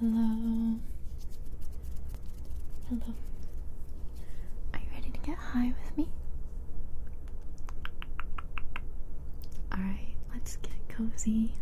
Hello. Hello. Are you ready to get high with me? Alright, let's get cozy.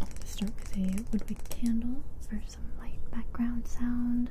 I'm gonna start with a woodwick candle for some light background sound.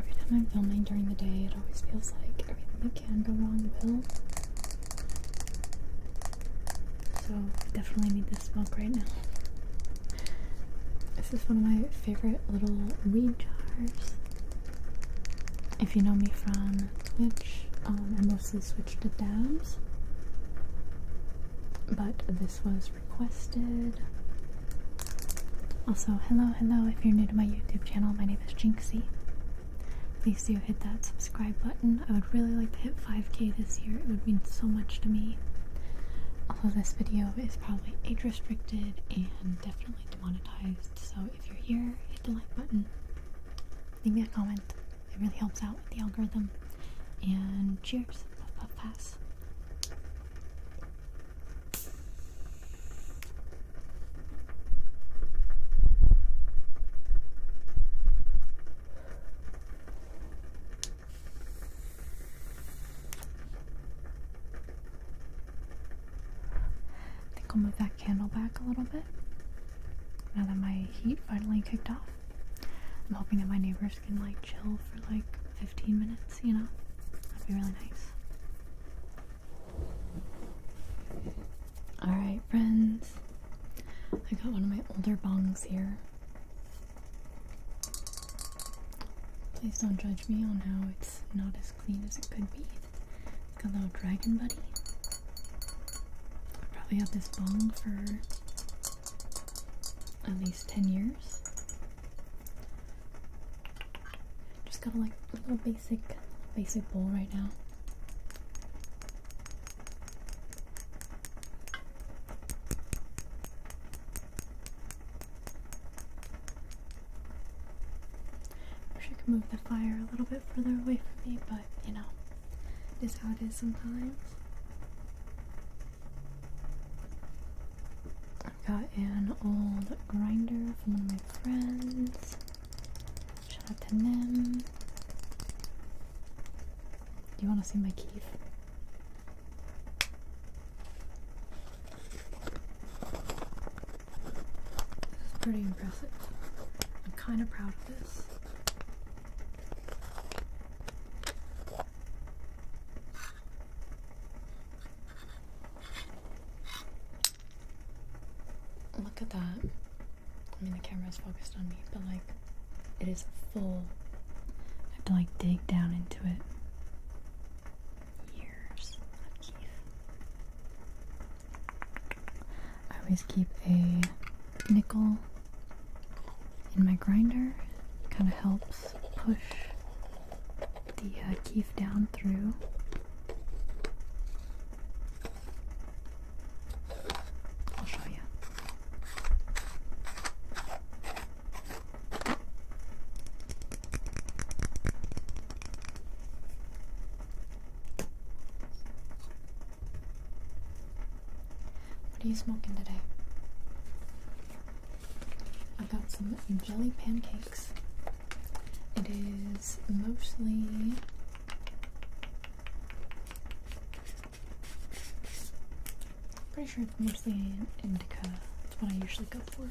Every time I'm filming during the day, it always feels like everything that can go wrong will. So, definitely need this smoke right now. This is one of my favorite little weed jars. If you know me from Twitch, um, I mostly switch to dabs. But this was requested. Also, hello, hello, if you're new to my YouTube channel, my name is Jinxie. Please do hit that subscribe button. I would really like to hit 5k this year, it would mean so much to me. Although this video is probably age restricted and definitely demonetized, so if you're here, hit the like button, leave me a comment, it really helps out with the algorithm. And cheers, pass. I think I'll move that candle back a little bit now that my heat finally kicked off. I'm hoping that my neighbors can like chill for like 15 minutes, you know? That'd be really nice. Alright, friends. I got one of my older bongs here. Please don't judge me on how it's not as clean as it could be. it got a little dragon buddy. I probably have this bong for at least 10 years. Just got a like a little basic basic bowl right now. Wish I could move the fire a little bit further away from me, but you know, it is how it is sometimes. I got an old grinder from one of my friends. Shout out to them. Do you want to see my keef? This is pretty impressive. I'm kind of proud of this. Look at that. I mean, the camera is focused on me, but like, it is full. I have to like dig down into it. Years I always keep a nickel in my grinder. Kind of helps push the uh, keef down through. I'll show you. What are you smoking today? I have got some jelly pancakes. It is mostly pretty sure it's mostly indica. That's what I usually go for.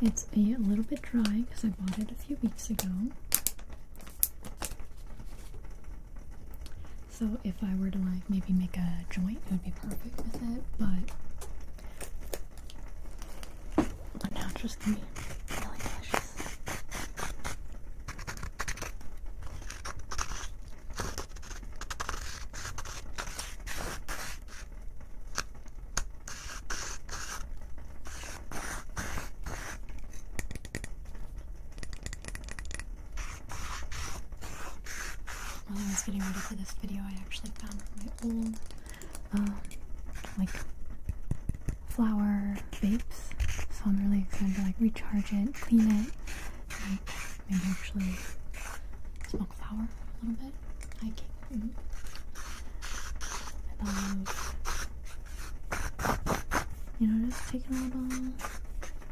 It's a little bit dry because I bought it a few weeks ago. So if I were to like maybe make a joint, it would be perfect with it, but now just gonna while I was getting ready for this video, I actually found my old, um, like, flower vapes. So I'm really excited to like recharge it, clean it, like maybe actually smoke flower a little bit. Mm-hmm. You know, just taking a little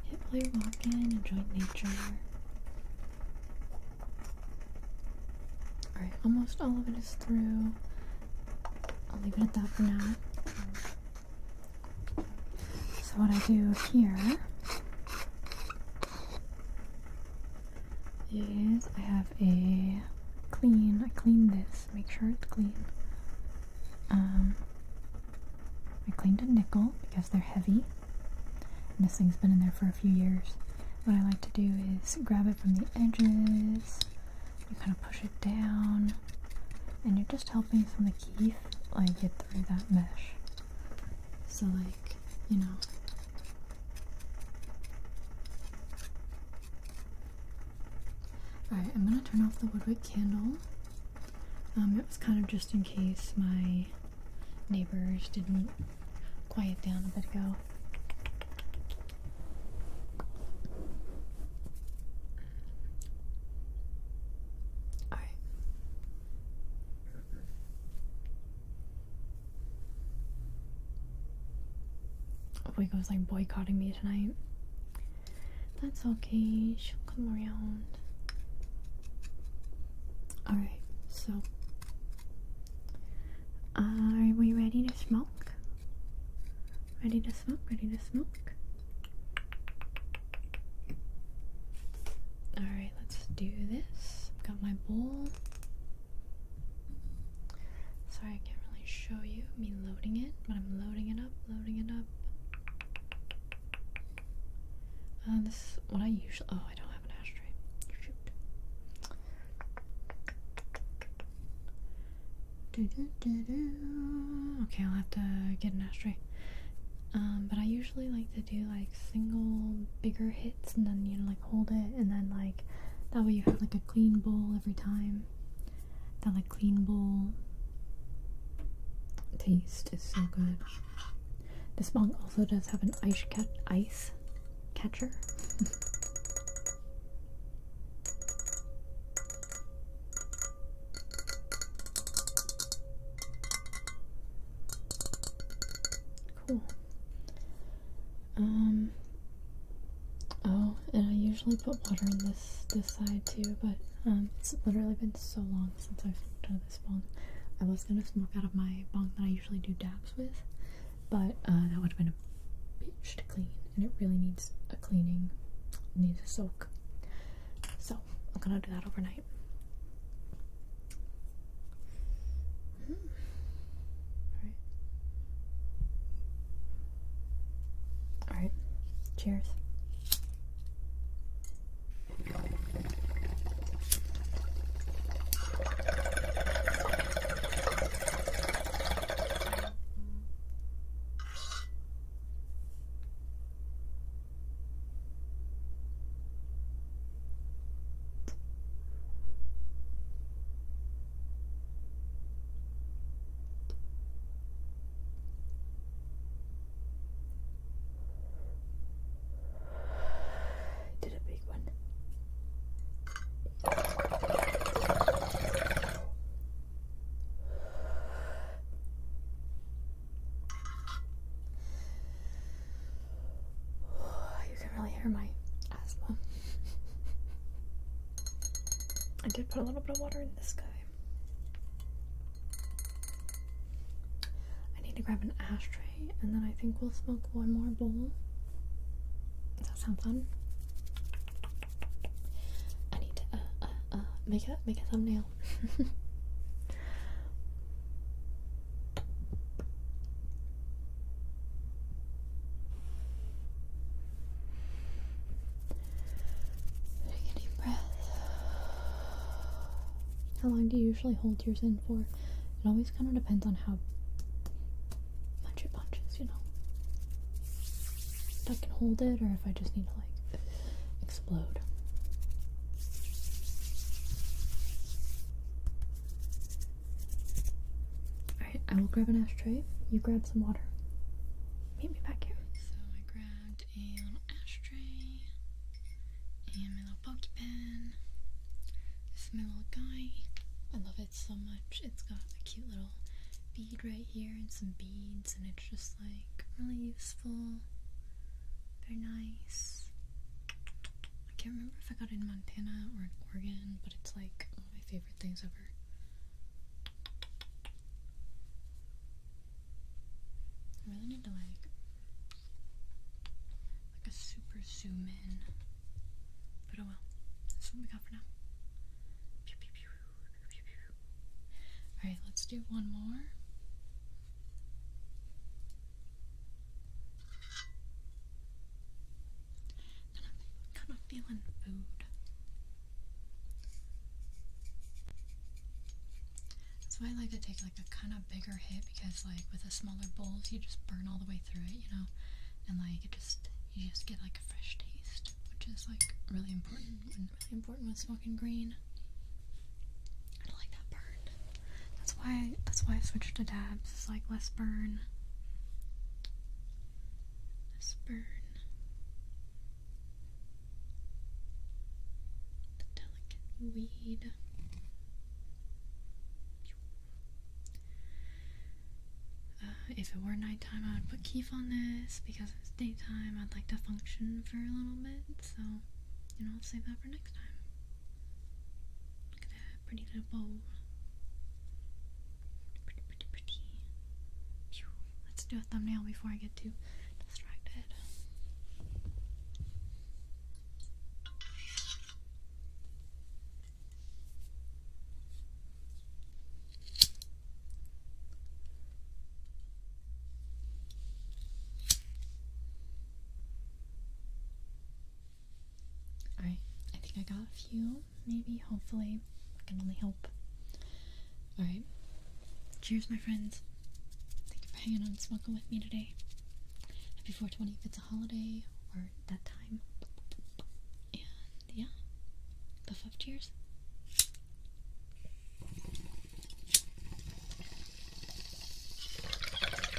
hit while walking, enjoy nature. Alright, almost all of it is through. I'll leave it at that for now. So what I do here Yes, I have a clean. I clean this. Make sure it's clean. Um, I cleaned a nickel because they're heavy. And this thing's been in there for a few years. What I like to do is grab it from the edges. You kind of push it down. And you're just helping from the keef like get through that mesh. So like, you know, Alright, I'm gonna turn off the Woodwick candle. Um, it was kind of just in case my neighbors didn't quiet down a bit ago. Alright. Oiko's oh like boycotting me tonight. That's okay, she'll come around. Alright, so. Are we ready to smoke? Ready to smoke? Ready to smoke? Alright, let's do this. Got my bowl. Sorry, I can't really show you me loading it, but I'm loading it up, loading it up. Uh, this is what I usually. Oh, I don't have an ashtray. Okay, I'll have to get an ashtray. Um, but I usually like to do like single bigger hits, and then you know, like hold it and then like that way you have like a clean bowl every time. That like clean bowl taste is so good. This mug also does have an ice cat ice catcher. cool. Um, oh, and I usually put water in this this side too, but um, it's literally been so long since I've smoked out of this bong. I was gonna smoke out of my bong that I usually do dabs with, but uh, that would have been a bitch to clean, and it really needs a cleaning, needs a soak. So I'm gonna do that overnight. Hmm? All right. All right. Cheers. did a big one. I you can really hear my asthma. I did put a little bit of water in this guy. I need to grab an ashtray and then I think we'll smoke one more bowl. Does that sound fun? I need to uh, uh, uh, make a make a thumbnail. Take breath. How long do you usually hold yours in for? It always kind of depends on how much it punches, you know. If I can hold it or if I just need to like explode. Alright, I will grab an ashtray. You grab some water. Meet me back here. So I grabbed a ashtray and my little poke pen. This is my little guy. I love it so much. It's got a cute little bead right here and some beads and it's just like really useful. Very nice. I can't remember if I got it in Montana or in Oregon, but it's like one of my favorite things ever. I really need to like like a super zoom in. But oh well. That's what we got for now. Alright, let's do one more. I'm kind of feeling food. That's why I like to take like a kind of bigger hit because like with a smaller bowl, you just burn all the way through it, you know, and like it just you just get like a fresh taste, which is like really important really important with smoking green. I don't like that burn. That's why that's why I switched to dabs. It's like less burn this burn, the delicate weed. Uh, if it were nighttime, I would put Keef on this because it's daytime. I'd like to function for a little bit, so you know, I'll save that for next time pretty little bowl. Pretty, pretty, pretty. Let's do a thumbnail before I get too distracted. Alright, I think I got a few, maybe, hopefully. I can only hope. Alright. Cheers, my friends. Thank you for hanging on smoking with me today. Happy 420 if it's a holiday or that time. And yeah. Puff up cheers.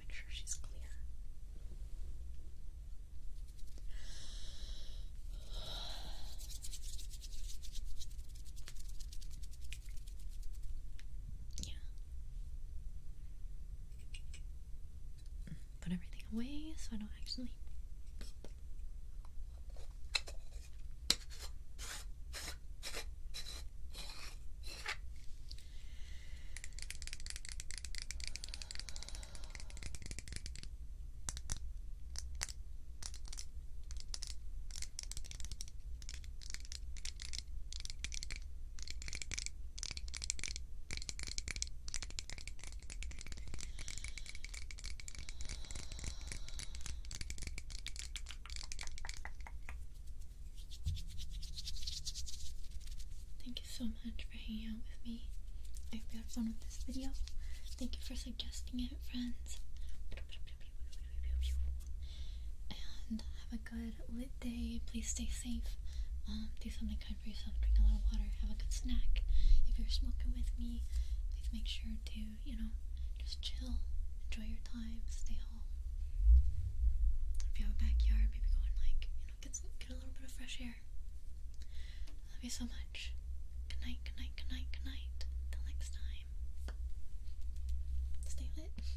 Make sure she's clear. Yeah put everything away so I don't actually. Thank you so much for hanging out with me. I hope you had fun with this video. Thank you for suggesting it, friends. And have a good lit day. Please stay safe. Um, do something kind for yourself. Drink a lot of water. Have a good snack. If you're smoking with me, please make sure to, you know, just chill. Enjoy your time. Stay home. If you have a backyard, maybe go and, like, you know, get, some, get a little bit of fresh air. Love you so much. Good night, good night, good night, good night. Till next time. Stay lit.